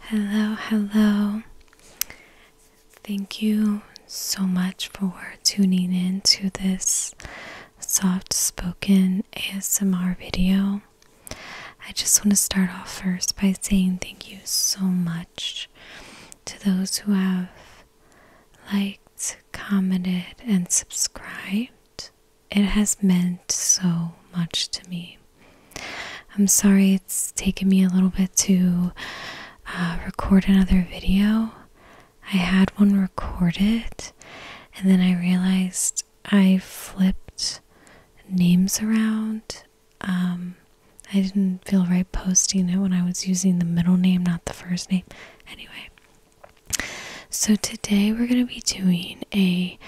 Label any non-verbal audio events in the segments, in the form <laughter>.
Hello, hello. Thank you so much for tuning in to this soft spoken ASMR video. I just want to start off first by saying thank you so much to those who have liked, commented, and subscribed. It has meant so much to me. I'm sorry it's taken me a little bit to uh, record another video. I had one recorded and then I realized I flipped names around. Um, I didn't feel right posting it when I was using the middle name, not the first name. Anyway, so today we're going to be doing a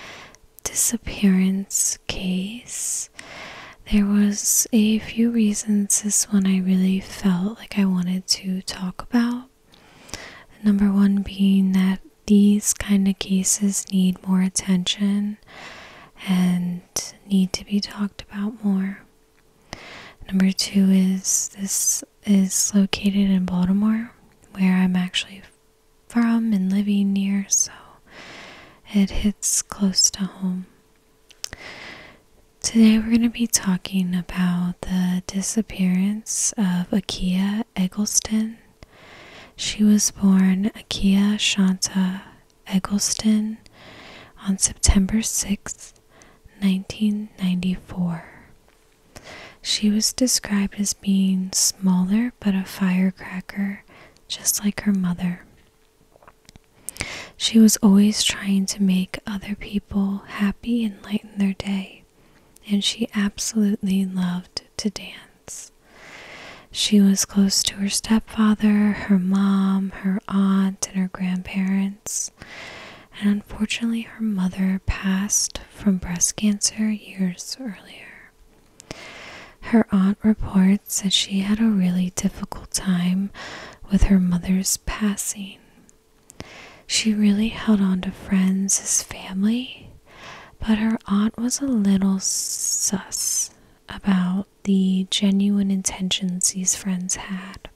disappearance case, there was a few reasons this one I really felt like I wanted to talk about. Number one being that these kind of cases need more attention and need to be talked about more. Number two is this is located in Baltimore, where I'm actually from and living near, so it hits close to home. Today we're going to be talking about the disappearance of Akia Eggleston. She was born Akia Shanta Eggleston on September sixth, 1994. She was described as being smaller but a firecracker, just like her mother. She was always trying to make other people happy and lighten their day, and she absolutely loved to dance. She was close to her stepfather, her mom, her aunt, and her grandparents. And unfortunately, her mother passed from breast cancer years earlier. Her aunt reports that she had a really difficult time with her mother's passing. She really held on to friends as family, but her aunt was a little sus about the genuine intentions these friends had.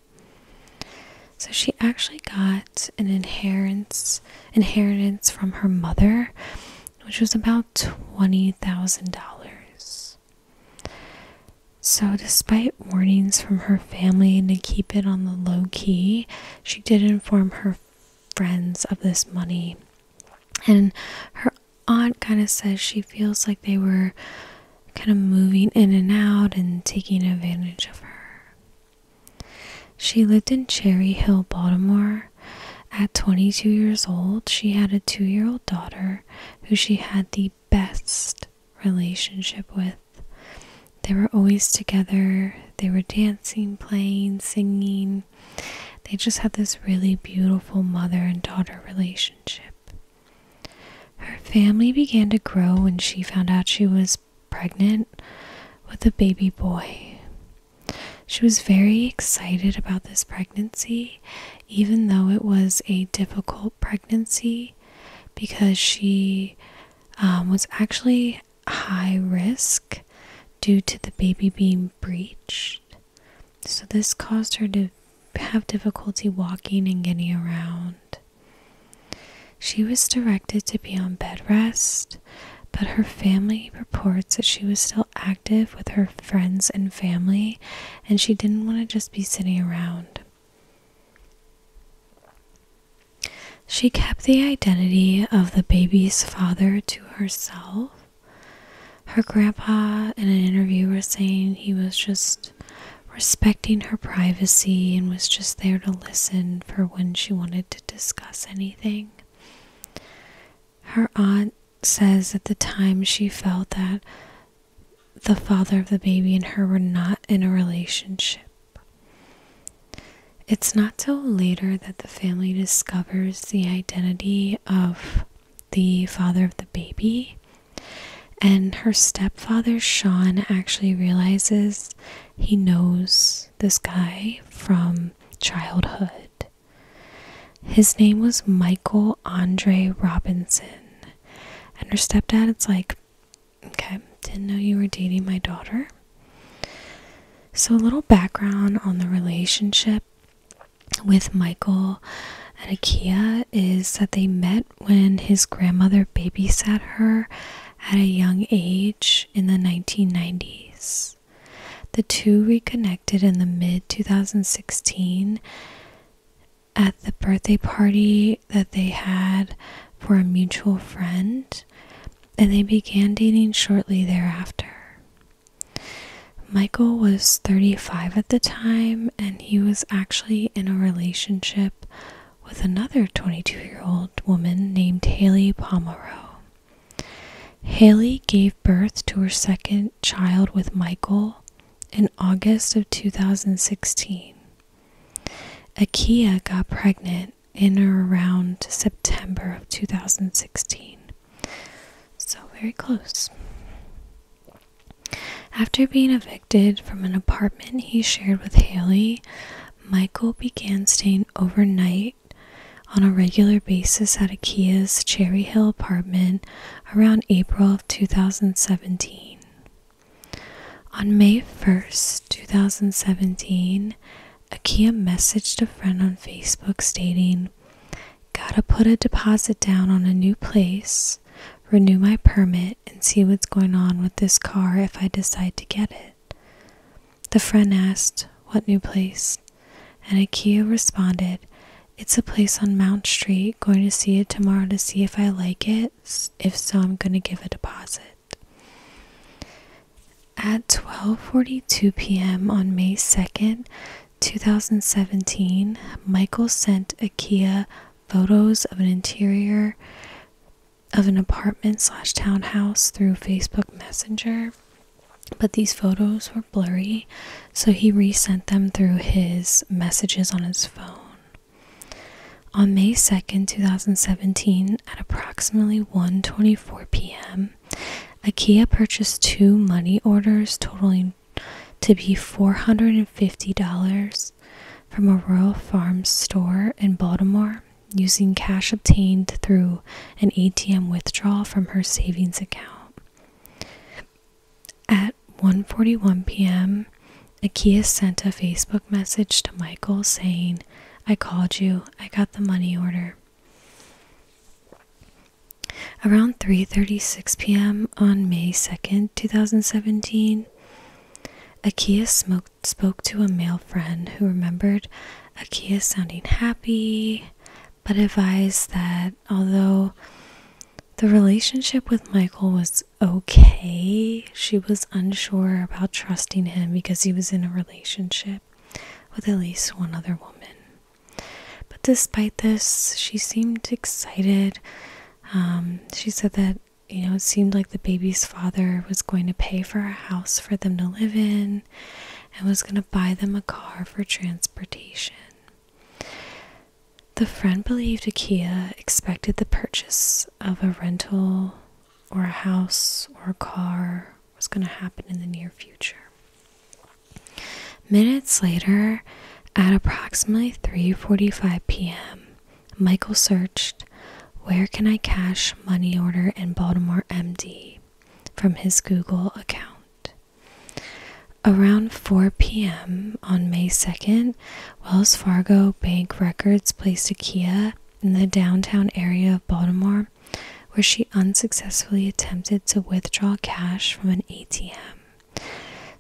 So she actually got an inheritance inheritance from her mother, which was about $20,000. So, despite warnings from her family to keep it on the low key, she did inform her friends of this money. And her aunt kind of says she feels like they were kind of moving in and out and taking advantage of her. She lived in Cherry Hill, Baltimore, at 22 years old, she had a two year old daughter who she had the best relationship with. They were always together, they were dancing, playing, singing. They just had this really beautiful mother and daughter relationship. Her family began to grow when she found out she was pregnant with a baby boy. She was very excited about this pregnancy, even though it was a difficult pregnancy, because she um, was actually high risk due to the baby being breeched. So, this caused her to have difficulty walking and getting around. She was directed to be on bed rest, but her family reports that she was still active with her friends and family, and she didn't want to just be sitting around. She kept the identity of the baby's father to herself. Her grandpa, in an interview, was saying he was just respecting her privacy and was just there to listen for when she wanted to discuss anything. Her aunt says at the time she felt that the father of the baby and her were not in a relationship. It's not till later that the family discovers the identity of the father of the baby. And her stepfather, Sean, actually realizes he knows this guy from childhood. His name was Michael Andre Robinson. And her stepdad, it's like, okay, didn't know you were dating my daughter. So, a little background on the relationship with Michael and Akia is that they met when his grandmother babysat her at a young age in the 1990s. The two reconnected in the mid 2016 at the birthday party that they had for a mutual friend, and they began dating shortly thereafter. Michael was 35 at the time, and he was actually in a relationship with another 22 year old woman named Haley Pomeroy. Haley gave birth to her second child with Michael in August of 2016. Akia got pregnant in or around September of 2016. So, very close. After being evicted from an apartment he shared with Haley, Michael began staying overnight on a regular basis at Akia's Cherry Hill apartment around April of 2017. On May 1st, 2017, Akia messaged a friend on Facebook stating, Gotta put a deposit down on a new place, renew my permit, and see what's going on with this car if I decide to get it. The friend asked, What new place? And Ikea responded, It's a place on Mount Street. Going to see it tomorrow to see if I like it. If so, I'm going to give a deposit. At 12:42 p.m. on May 2nd, 2017, Michael sent IKEA photos of an interior of an apartment slash townhouse through Facebook Messenger. But these photos were blurry, so he resent them through his messages on his phone. On May 2nd, 2017, at approximately one twenty-four p.m., IKEA purchased two money orders totaling to be $450 from a Royal farm store in Baltimore using cash obtained through an ATM withdrawal from her savings account. At 1:41 p.m., Akia sent a Facebook message to Michael saying, "I called you. I got the money order." Around 3:36 p.m. on May 2nd, 2017, Akia spoke to a male friend who remembered Akia sounding happy, but advised that although the relationship with Michael was okay, she was unsure about trusting him because he was in a relationship with at least one other woman. But despite this, she seemed excited. Um, she said that, you know, it seemed like the baby's father was going to pay for a house for them to live in and was going to buy them a car for transportation. The friend believed IKEA expected the purchase of a rental or a house or a car was going to happen in the near future. Minutes later, at approximately 3:45 p.m., Michael searched, "Where can I cash money order in Baltimore MD?" from his Google account. Around 4 p.m. on May 2nd, Wells Fargo Bank Records placed IKEA in the downtown area of Baltimore, where she unsuccessfully attempted to withdraw cash from an ATM.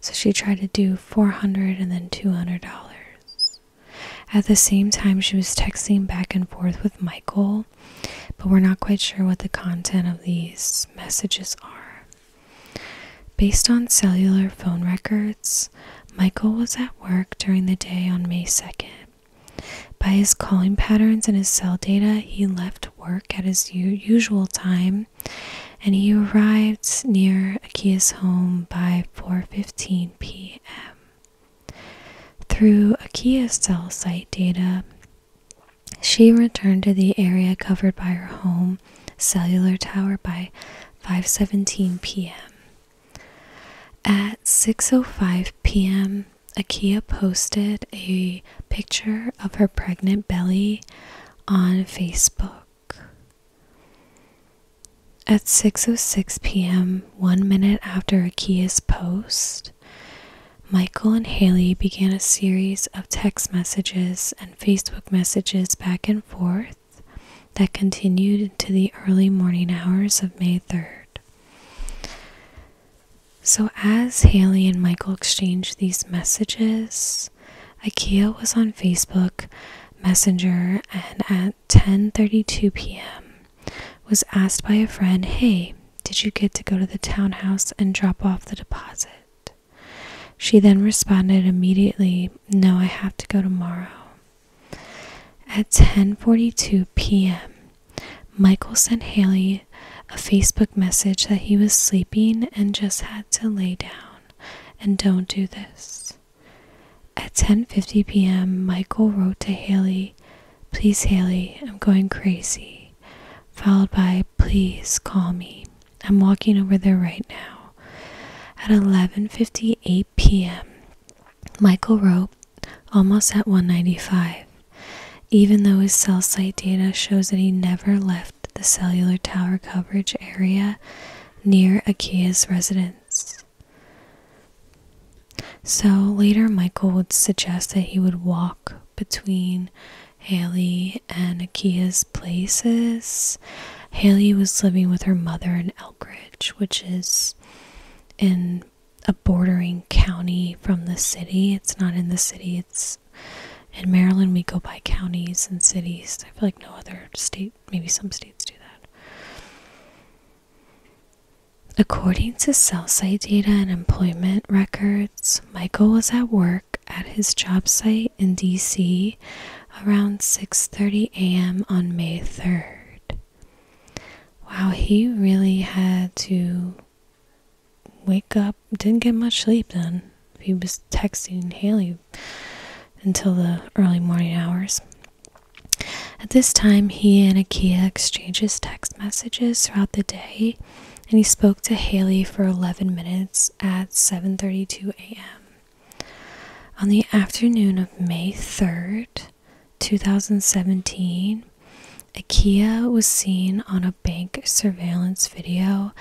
So she tried to do 400 and then $200. At the same time, she was texting back and forth with Michael but we're not quite sure what the content of these messages are. Based on cellular phone records, Michael was at work during the day on May 2nd. By his calling patterns and his cell data, he left work at his usual time and he arrived near Akia's home by 4:15 p.m. Through Akia's cell site data, she returned to the area covered by her home cellular tower by 5:17 p.m. At 6:05 p.m., Akia posted a picture of her pregnant belly on Facebook. At 6:06 p.m., 1 minute after Akia's post, Michael and Haley began a series of text messages and Facebook messages back and forth that continued into the early morning hours of May 3rd. So, as Haley and Michael exchanged these messages, IKEA was on Facebook Messenger and at 10:32 p.m was asked by a friend, Hey, did you get to go to the townhouse and drop off the deposit? She then responded immediately, No, I have to go tomorrow. At 10:42 p.m., Michael sent Haley a Facebook message that he was sleeping and just had to lay down and don't do this. At 10:50 p.m., Michael wrote to Haley, Please, Haley, I'm going crazy. Followed by, Please call me. I'm walking over there right now. At 11:58 p.m., Michael wrote, almost at 195, even though his cell site data shows that he never left the cellular tower coverage area near Akia's residence. So later, Michael would suggest that he would walk between Haley and Akia's places. Haley was living with her mother in Elkridge, which is in a bordering county from the city. It's not in the city, it's in Maryland. We go by counties and cities. I feel like no other state, maybe some states do that. According to cell site data and employment records, Michael was at work at his job site in DC around 6:30 a.m. on May 3rd. Wow, he really had to wake up, didn't get much sleep then. He was texting Haley until the early morning hours. At this time, he and Akia exchanges texts messages throughout the day, and he spoke to Haley for 11 minutes at 7:32 a.m. On the afternoon of May 3rd, 2017, IKEA was seen on a bank surveillance video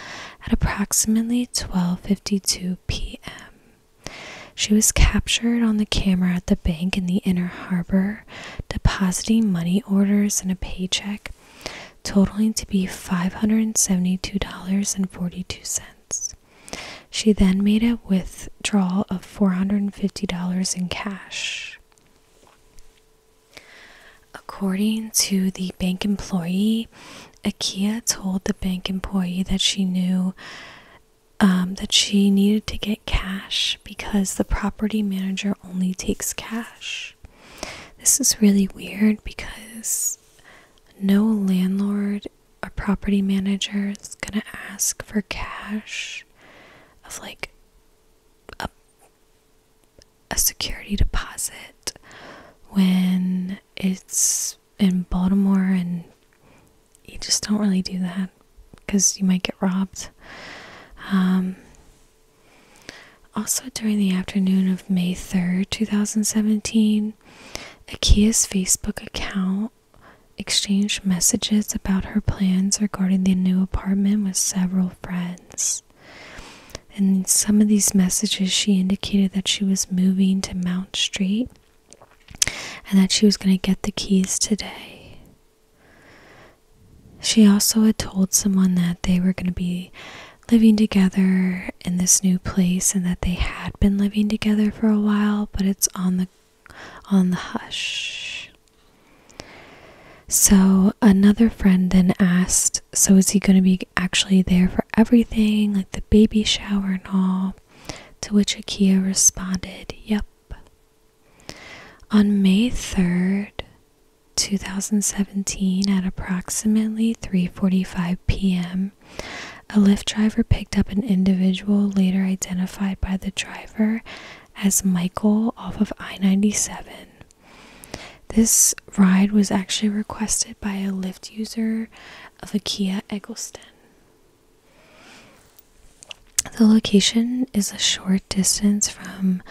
at approximately 12:52 p.m. She was captured on the camera at the bank in the Inner Harbor depositing money orders and a paycheck totaling to be $572.42. She then made a withdrawal of $450 in cash. According to the bank employee, Akia told the bank employee that she knew um, that she needed to get cash because the property manager only takes cash. This is really weird because no landlord or property manager is going to ask for cash of like a, a security deposit when it's in Baltimore and you just don't really do that because you might get robbed. Um, also, during the afternoon of May 3rd, 2017, Akia's Facebook account exchanged messages about her plans regarding the new apartment with several friends. In some of these messages, she indicated that she was moving to Mount Street and that she was going to get the keys today. She also had told someone that they were going to be living together in this new place and that they had been living together for a while, but it's on the on the hush. So another friend then asked, so is he going to be actually there for everything, like the baby shower and all? To which Akia responded, yep. On May 3rd, 2017 at approximately 3:45 p.m. a Lyft driver picked up an individual later identified by the driver as Michael off of I-97. This ride was actually requested by a Lyft user of Akia Eggleston. The location is a short distance from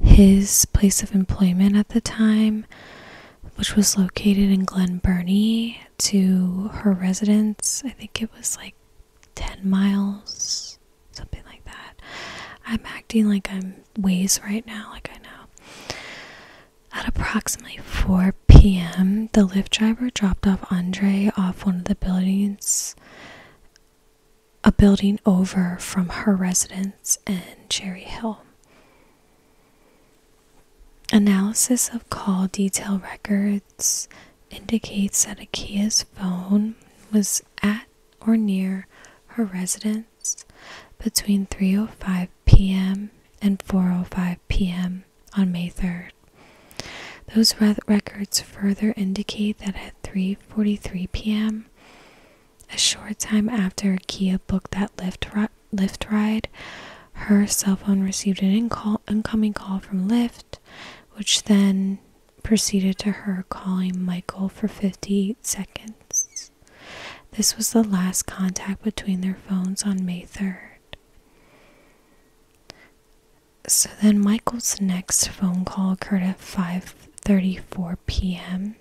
his place of employment at the time, which was located in Glen Burnie, to her residence. I think it was like 10 miles, something like that. I'm acting like I'm ways right now, like I know. At approximately 4 p.m., the Lyft driver dropped off Andre off one of the buildings a building over from her residence in Cherry Hill. Analysis of call detail records indicates that Akia's phone was at or near her residence between 3:05 p.m. and 4:05 p.m. on May 3rd. Those records further indicate that 3:43 p.m. A short time after Kia booked that lift ri ride, her cell phone received an incoming call from Lyft, which then proceeded to her calling Michael for 58 seconds. This was the last contact between their phones on May 3rd so then Michael's next phone call occurred at 5:34 p.m.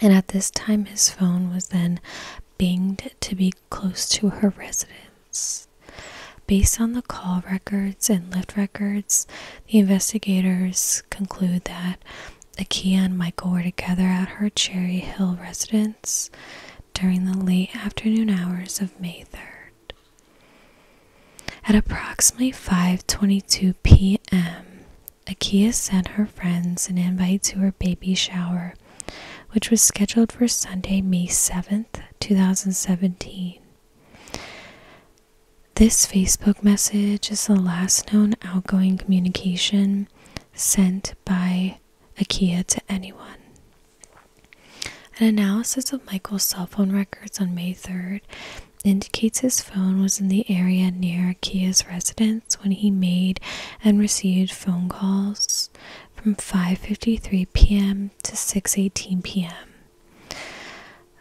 and at this time his phone was then binged to be close to her residence. Based on the call records and lift records, the investigators conclude that Akia and Michael were together at her Cherry Hill residence during the late afternoon hours of May 3rd. At approximately 5:22 p.m., Akia sent her friends an invite to her baby shower, which was scheduled for Sunday, May 7th, 2017. This Facebook message is the last known outgoing communication sent by Akia to anyone. An analysis of Michael's cell phone records on May 3rd indicates his phone was in the area near Kia's residence when he made and received phone calls from 5:53 p.m. to 6:18 p.m.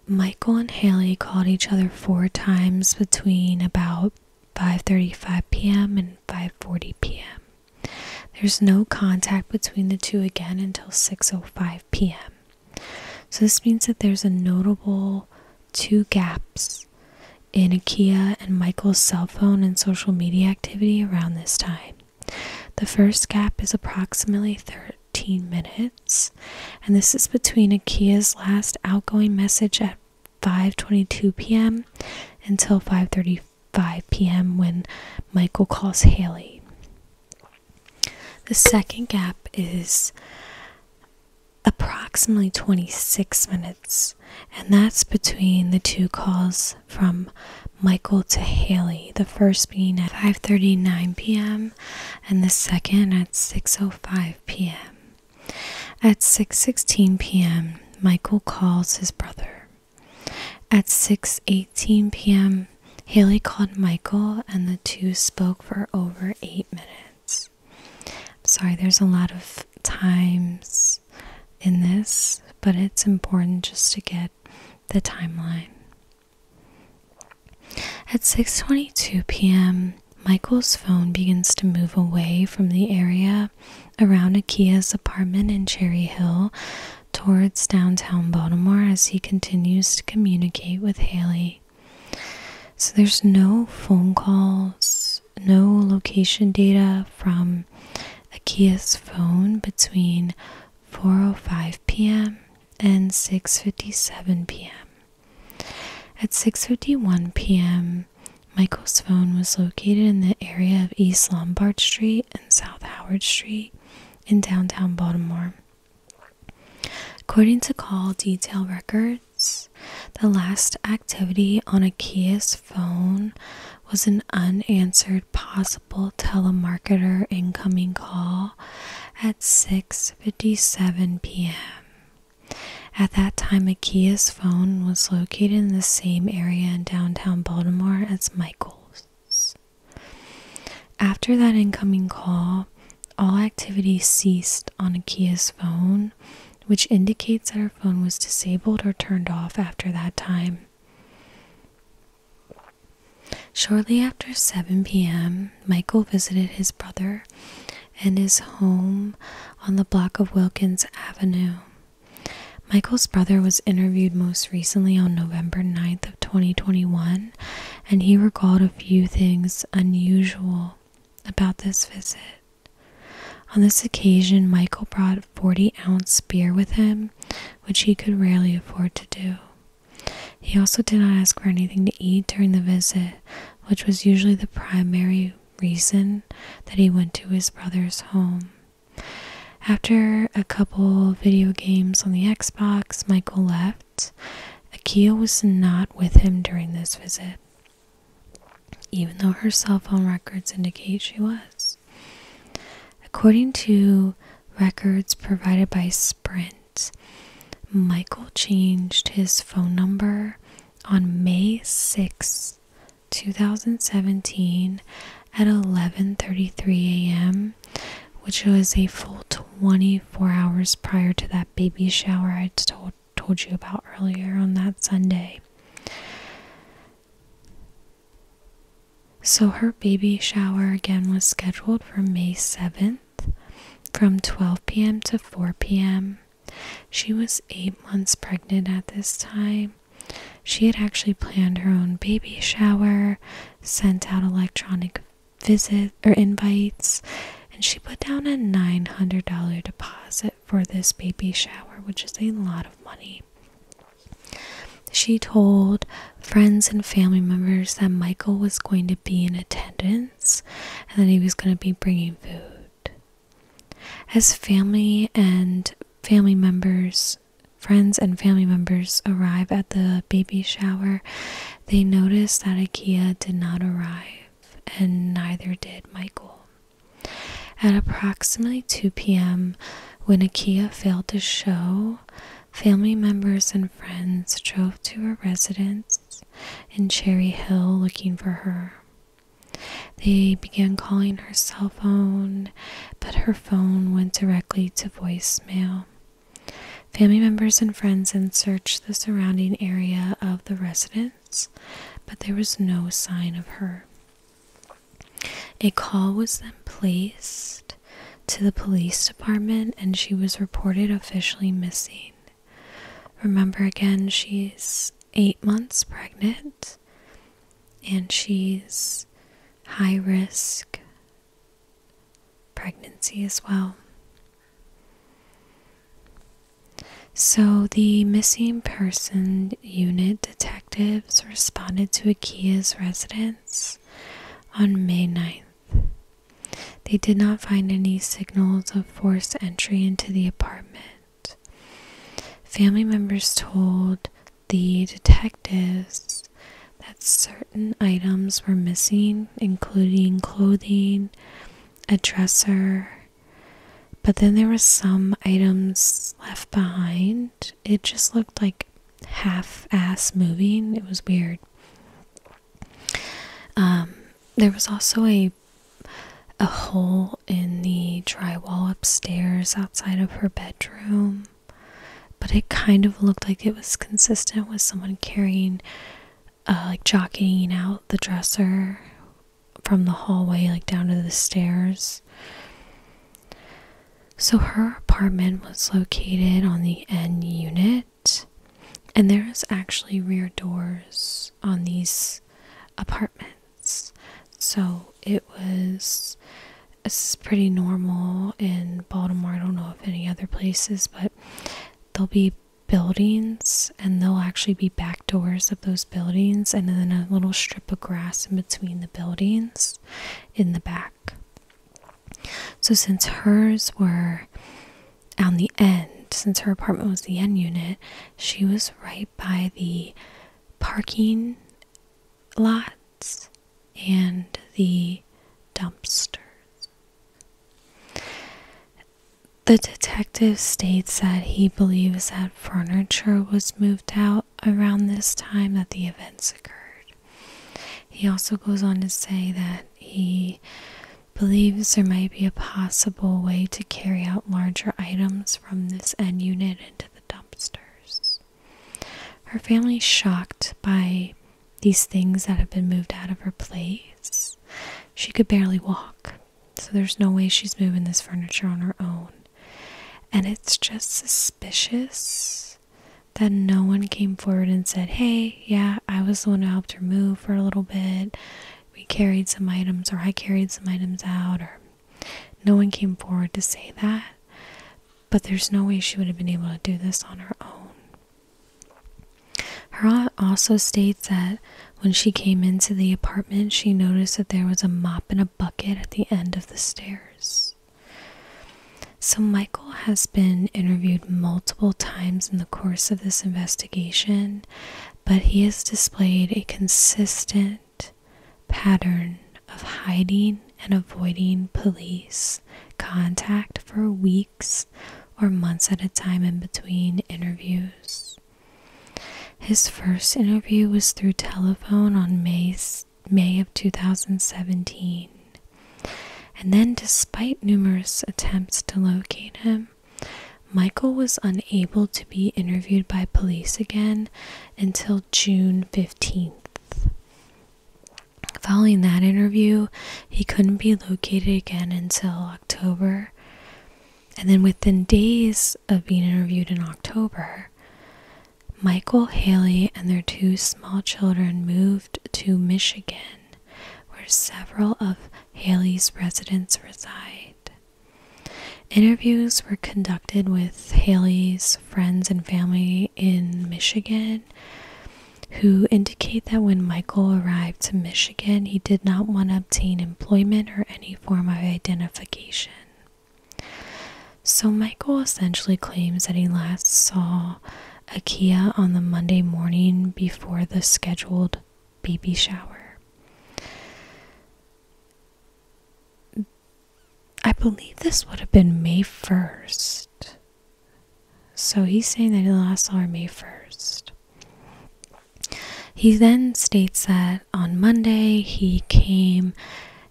Michael and Haley called each other four times between about 5:35 p.m. and 5:40 p.m. There's no contact between the two again until 6:05 p.m. So this means that there's a notable two gaps in Akia and Michael's cell phone and social media activity around this time. The first gap is approximately 13 minutes, and this is between Akia's last outgoing message at 5:22 p.m. until 5:35 p.m. when Michael calls Haley. The second gap is approximately 26 minutes, and that's between the two calls from Michael to Haley, the first being at 5:39 p.m. and the second at 6:05 p.m. At 6:16 p.m., Michael calls his brother. At 6:18 p.m., um, Haley called Michael, and the two spoke for over eight minutes. sorry, there's a lot of times in this, but it's important just to get the timeline. At 6:22 p.m., Michael's phone begins to move away from the area around Akia's apartment in Cherry Hill towards downtown Baltimore as he continues to communicate with Haley. So there's no phone calls, no location data from Akia's phone between 4:05 p.m. and 6:57 p.m. At 6:51 p.m., Michael's phone was located in the area of East Lombard Street and South Howard Street in downtown Baltimore. According to call detail records, the last activity on a phone was an unanswered possible telemarketer incoming call at 6:57 p.m. At that time, a phone was located in the same area in downtown Baltimore as Michael's. After that incoming call, all activity ceased on Akia's phone, which indicates that her phone was disabled or turned off after that time. Shortly after 7 p.m., Michael visited his brother and his home on the block of Wilkins Avenue. Michael's brother was interviewed most recently on November 9th of 2021 and he recalled a few things unusual about this visit. On this occasion, Michael brought a 40 ounce beer with him, which he could rarely afford to do. He also did not ask for anything to eat during the visit, which was usually the primary reason that he went to his brother's home. After a couple video games on the Xbox, Michael left. Akia was not with him during this visit, even though her cell phone records indicate she was. According to records provided by Sprint, Michael changed his phone number on May 6, 2017 at 11:33 a.m which was a full 24 hours prior to that baby shower I told you about earlier on that Sunday. So her baby shower again was scheduled for May 7th from 12 p.m. to 4 p.m. She was 8 months pregnant at this time. She had actually planned her own baby shower, sent out electronic visit or invites and she put down a $900 deposit for this baby shower which is a lot of money she told friends and family members that michael was going to be in attendance and that he was going to be bringing food as family and family members friends and family members arrive at the baby shower, they notice that IKEA did not arrive, and neither did Michael. At approximately 2 p.m., when IKEA failed to show, family members and friends drove to her residence in Cherry Hill looking for her. They began calling her cell phone, but her phone went directly to voicemail. Family members and friends then searched the surrounding area of the residence, but there was no sign of her. A call was then placed to the police department and she was reported officially missing. Remember again, she's eight months pregnant and she's high risk pregnancy as well. So, the missing person unit detectives responded to IKEA's residence on May 9th. They did not find any signals of forced entry into the apartment. Family members told the detectives that certain items were missing, including clothing, a dresser. But then there were some items left behind. It just looked like half ass moving. It was weird. Um, there was also a a hole in the drywall upstairs outside of her bedroom but it kind of looked like it was consistent with someone carrying, uh, like jockeying out the dresser from the hallway, like down to the stairs. So her apartment was located on the N unit, and there's actually rear doors on these apartments. So it was it's pretty normal in Baltimore. I don't know if any other places, but there'll be buildings and there'll actually be back doors of those buildings and then a little strip of grass in between the buildings in the back. So since hers were on the end, since her apartment was the end unit, she was right by the parking lot and the dumpsters. The detective states that he believes that furniture was moved out around this time that the events occurred. He also goes on to say that he believes there might be a possible way to carry out larger items from this end unit into the dumpsters. Her family shocked by these things that have been moved out of her place. She could barely walk, so there's no way she's moving this furniture on her own. And it's just suspicious that no one came forward and said, Hey, yeah, I was the one who helped her move for a little bit. We carried some items, or I carried some items out, or no one came forward to say that. But there's no way she would have been able to do this on her own. Her aunt also states that when she came into the apartment, she noticed that there was a mop and a bucket at the end of the stairs. So, Michael has been interviewed multiple times in the course of this investigation, but he has displayed a consistent pattern of hiding and avoiding police contact for weeks or months at a time in between interviews. His first interview was through telephone on May, May of 2017. And then, despite numerous attempts to locate him, Michael was unable to be interviewed by police again until June 15th. Following that interview, he couldn't be located again until October. And then within days of being interviewed in October, Michael Haley and their two small children moved to Michigan, where several of Haley's residents reside. Interviews were conducted with Haley's friends and family in Michigan who indicate that when Michael arrived to Michigan, he did not want to obtain employment or any form of identification. So Michael essentially claims that he last saw Akia on the Monday morning before the scheduled baby shower. I believe this would have been May 1st. So he's saying that he lost Army first. He then states that on Monday he came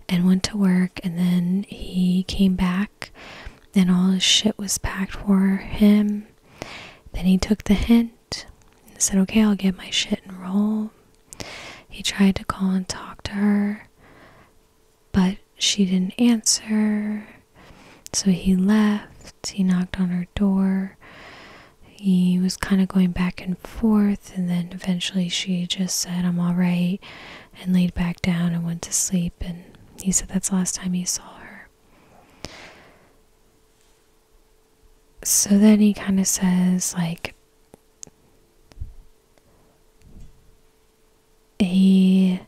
and went to work and then he came back and all his shit was packed for him. Then he took the hint and said, Okay, I'll get my shit and roll. He tried to call and talk to her but she didn't answer. So he left. He knocked on her door. He was kind of going back and forth. And then eventually she just said, I'm all right, and laid back down and went to sleep. And he said that's the last time he saw her. So then he kind of says, like, he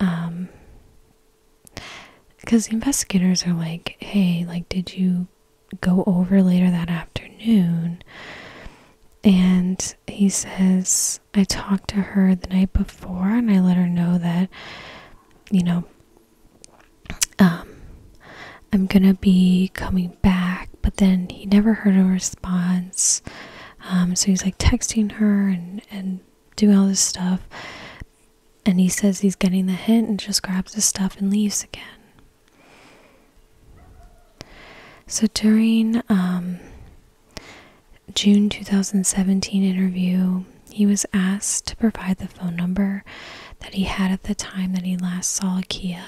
um because the investigators are like hey like did you go over later that afternoon and he says i talked to her the night before and i let her know that you know um i'm gonna be coming back but then he never heard a response um, so he's like texting her and, and doing all this stuff. And he says he's getting the hint and just grabs his stuff and leaves again. So during um, June 2017 interview, he was asked to provide the phone number that he had at the time that he last saw Kia.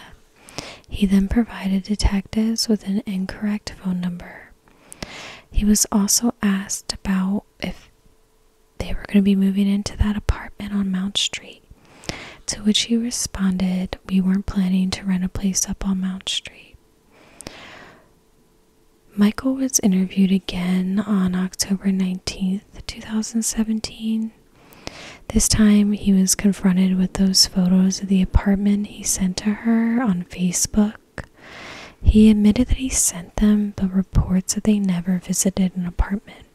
He then provided detectives with an incorrect phone number. He was also asked about if they were going to be moving into that apartment on Mount Street, to which he responded, We weren't planning to rent a place up on Mount Street. Michael was interviewed again on October 19th, 2017. This time he was confronted with those photos of the apartment he sent to her on Facebook. He admitted that he sent them, but reports that they never visited an apartment.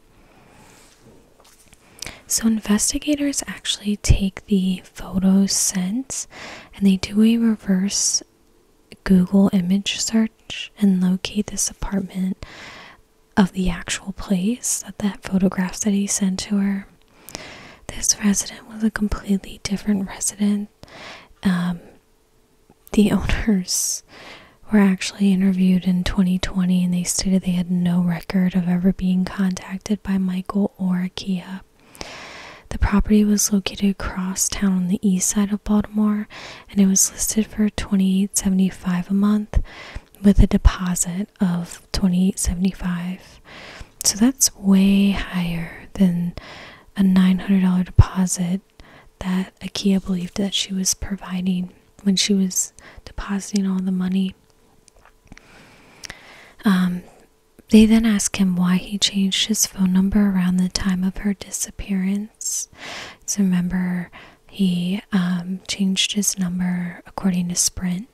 So, investigators actually take the photos sent and they do a reverse Google image search and locate this apartment of the actual place that that photograph that he sent to her. This resident was a completely different resident. Um, the <laughs> owners were actually interviewed in 2020 and they stated they had no record of ever being contacted by Michael or Kia. The property was located across town on the east side of Baltimore and it was listed for 28.75 a month with a deposit of 28.75 so that's way higher than a $900 deposit that IKEA believed that she was providing when she was depositing all the money. Um, they then ask him why he changed his phone number around the time of her disappearance. So remember, he um, changed his number according to Sprint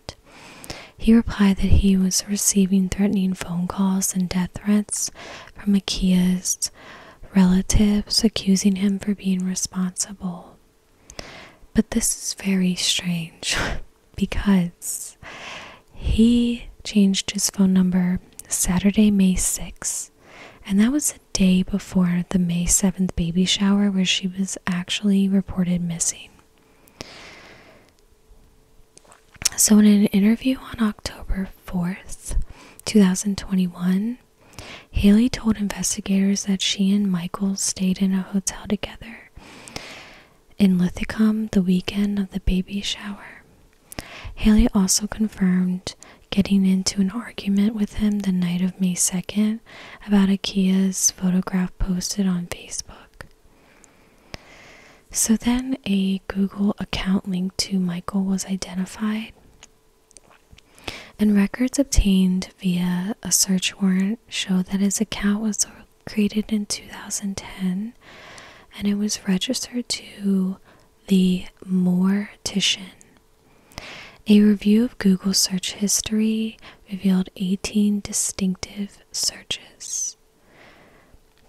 he replied that he was receiving threatening phone calls and death threats from Akia's relatives accusing him for being responsible. But this is very strange <laughs> because he changed his phone number Saturday, May 6th, and that was the day before the May 7th baby shower where she was actually reported missing. So, in an interview on October 4th, 2021, Haley told investigators that she and Michael stayed in a hotel together in Lithicum the weekend of the baby shower. Haley also confirmed getting into an argument with him the night of May 2nd about IKEA's photograph posted on Facebook. So then a Google account linked to Michael was identified, and records obtained via a search warrant show that his account was created in 2010 and it was registered to the Mortician. A review of Google search history revealed 18 distinctive searches.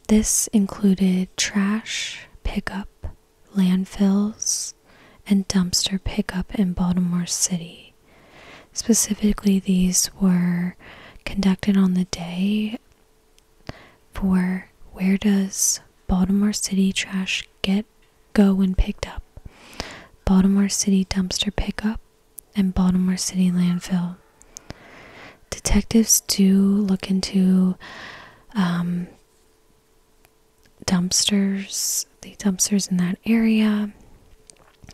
This included trash pickup, landfills, and dumpster pickup in Baltimore City. Specifically, these were conducted on the day for where does Baltimore City trash get go when picked up? Baltimore City dumpster pickup and Baltimore City landfill. Detectives do look into um, dumpsters, the dumpsters in that area,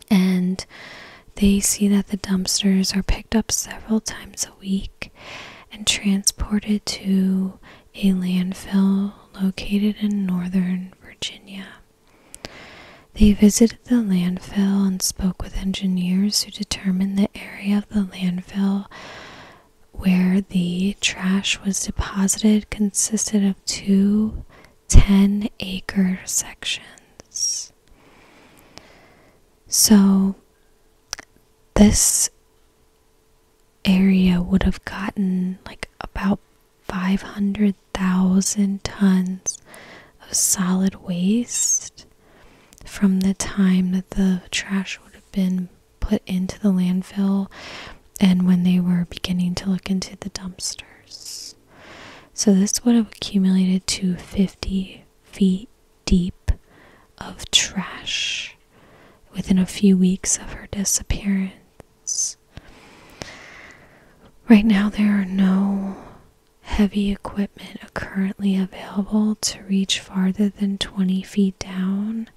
and they see that the dumpsters are picked up several times a week and transported to a landfill located in northern Virginia. They visited the landfill and spoke with engineers who determined the area of the landfill where the trash was deposited consisted of two acre sections. So this area would have gotten like about 500 thousand tons of solid waste from the time that the trash would have been put into the landfill and when they were beginning to look into the dumpsters. So this would have accumulated to 50 feet deep of trash within a few weeks of her disappearance. Right now, there are no heavy equipment currently available to reach farther than 20 feet down,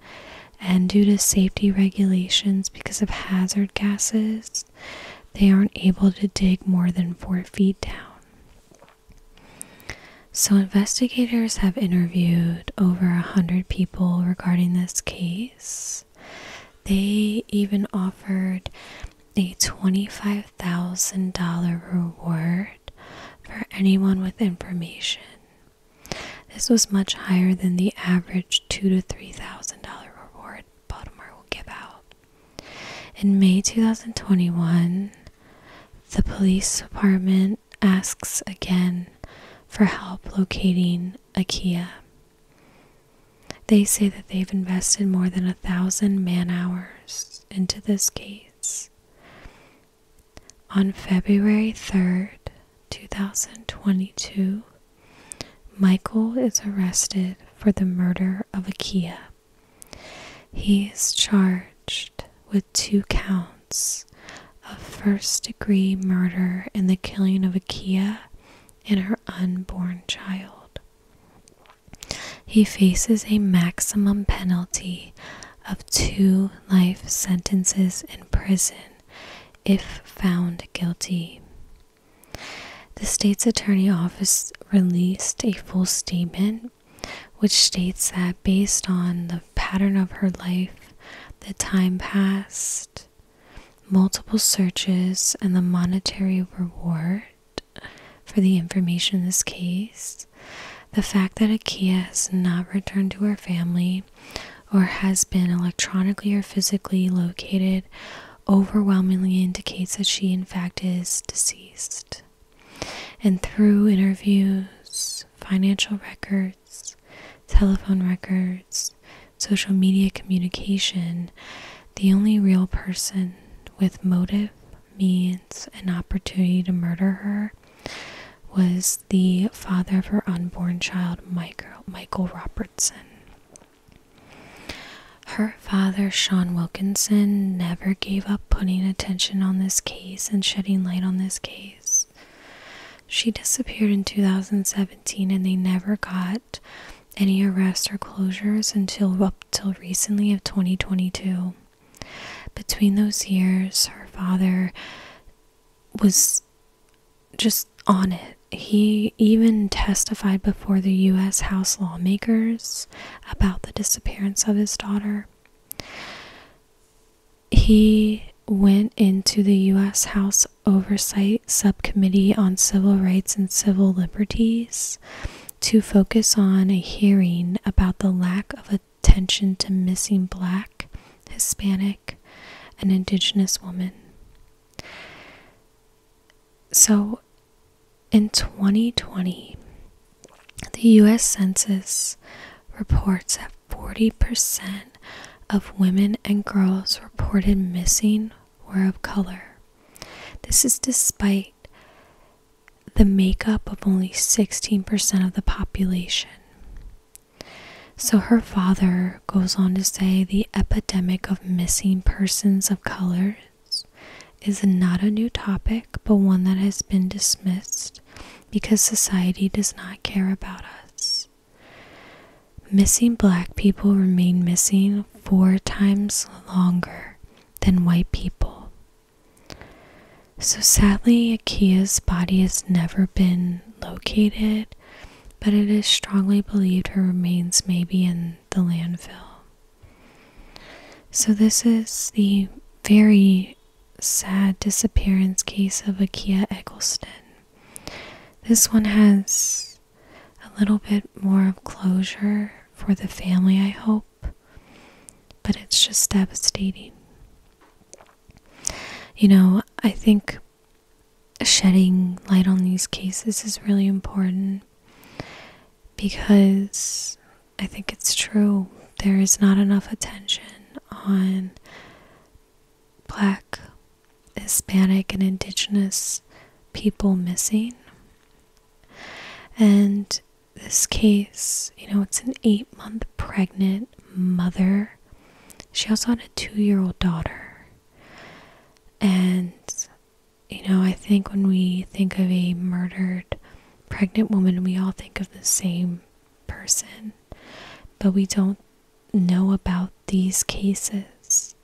and due to safety regulations because of hazard gases, they aren't able to dig more than 4 feet down. So, investigators have interviewed over a 100 people regarding this case. They even offered a $25,000 reward for anyone with information. This was much higher than the average two to three thousand dollar reward Baltimore will give out. In May 2021, the police department asks again for help locating IKEA. They say that they've invested more than a thousand man hours into this case. On February 3rd, 2022, Michael is arrested for the murder of Akia. He is charged with two counts of first degree murder in the killing of Akia and her unborn child. He faces a maximum penalty of two life sentences in prison if found guilty. The state's attorney office released a full statement which states that based on the pattern of her life, the time passed, multiple searches, and the monetary reward, for the information in this case. The fact that IKEA has not returned to her family or has been electronically or physically located overwhelmingly indicates that she, in fact, is deceased. And through interviews, financial records, telephone records, social media communication, the only real person with motive, means, and opportunity to murder her was the father of her unborn child, Michael, Robertson. Her father, Sean Wilkinson, never gave up putting attention on this case and shedding light on this case. She disappeared in 2017 and they never got any arrests or closures until up till recently of 2022. Between those years, her father was just on it. He even testified before the U.S. House lawmakers about the disappearance of his daughter. He went into the U.S. House Oversight Subcommittee on Civil Rights and Civil Liberties to focus on a hearing about the lack of attention to missing black, Hispanic, and indigenous women. So in 2020, the US Census reports that 40% of women and girls reported missing were of color. This is despite the makeup of only 16% of the population. So her father goes on to say the epidemic of missing persons of colors is not a new topic, but one that has been dismissed because society does not care about us. Missing black people remain missing four times longer than white people. So sadly, Akia's body has never been located, but it is strongly believed her remains may be in the landfill. So, this is the very sad disappearance case of Akia Eggleston. This one has a little bit more of closure for the family, I hope. But it's just devastating. You know, I think shedding light on these cases is really important because I think it's true. There is not enough attention on black, Hispanic, and indigenous people missing. And this case, you know, it's an eight month pregnant mother. She also had a two year old daughter. And, you know, I think when we think of a murdered pregnant woman, we all think of the same person, but we don't know about these cases.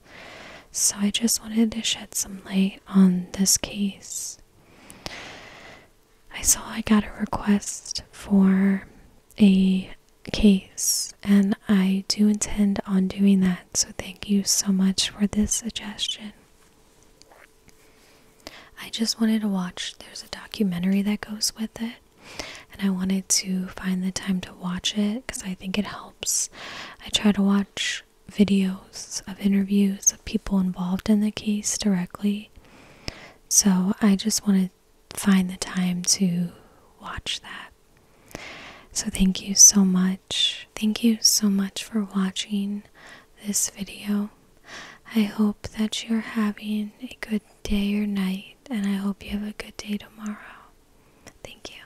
So I just wanted to shed some light on this case. I saw I got a request for a case, and I do intend on doing that. So thank you so much for this suggestion. I just wanted to watch, there's a documentary that goes with it, and I wanted to find the time to watch it because I think it helps. I try to watch videos of interviews of people involved in the case directly. So I just want to find the time to watch that. So thank you so much. Thank you so much for watching this video. I hope that you're having a good day or night, and I hope you have a good day tomorrow. Thank you.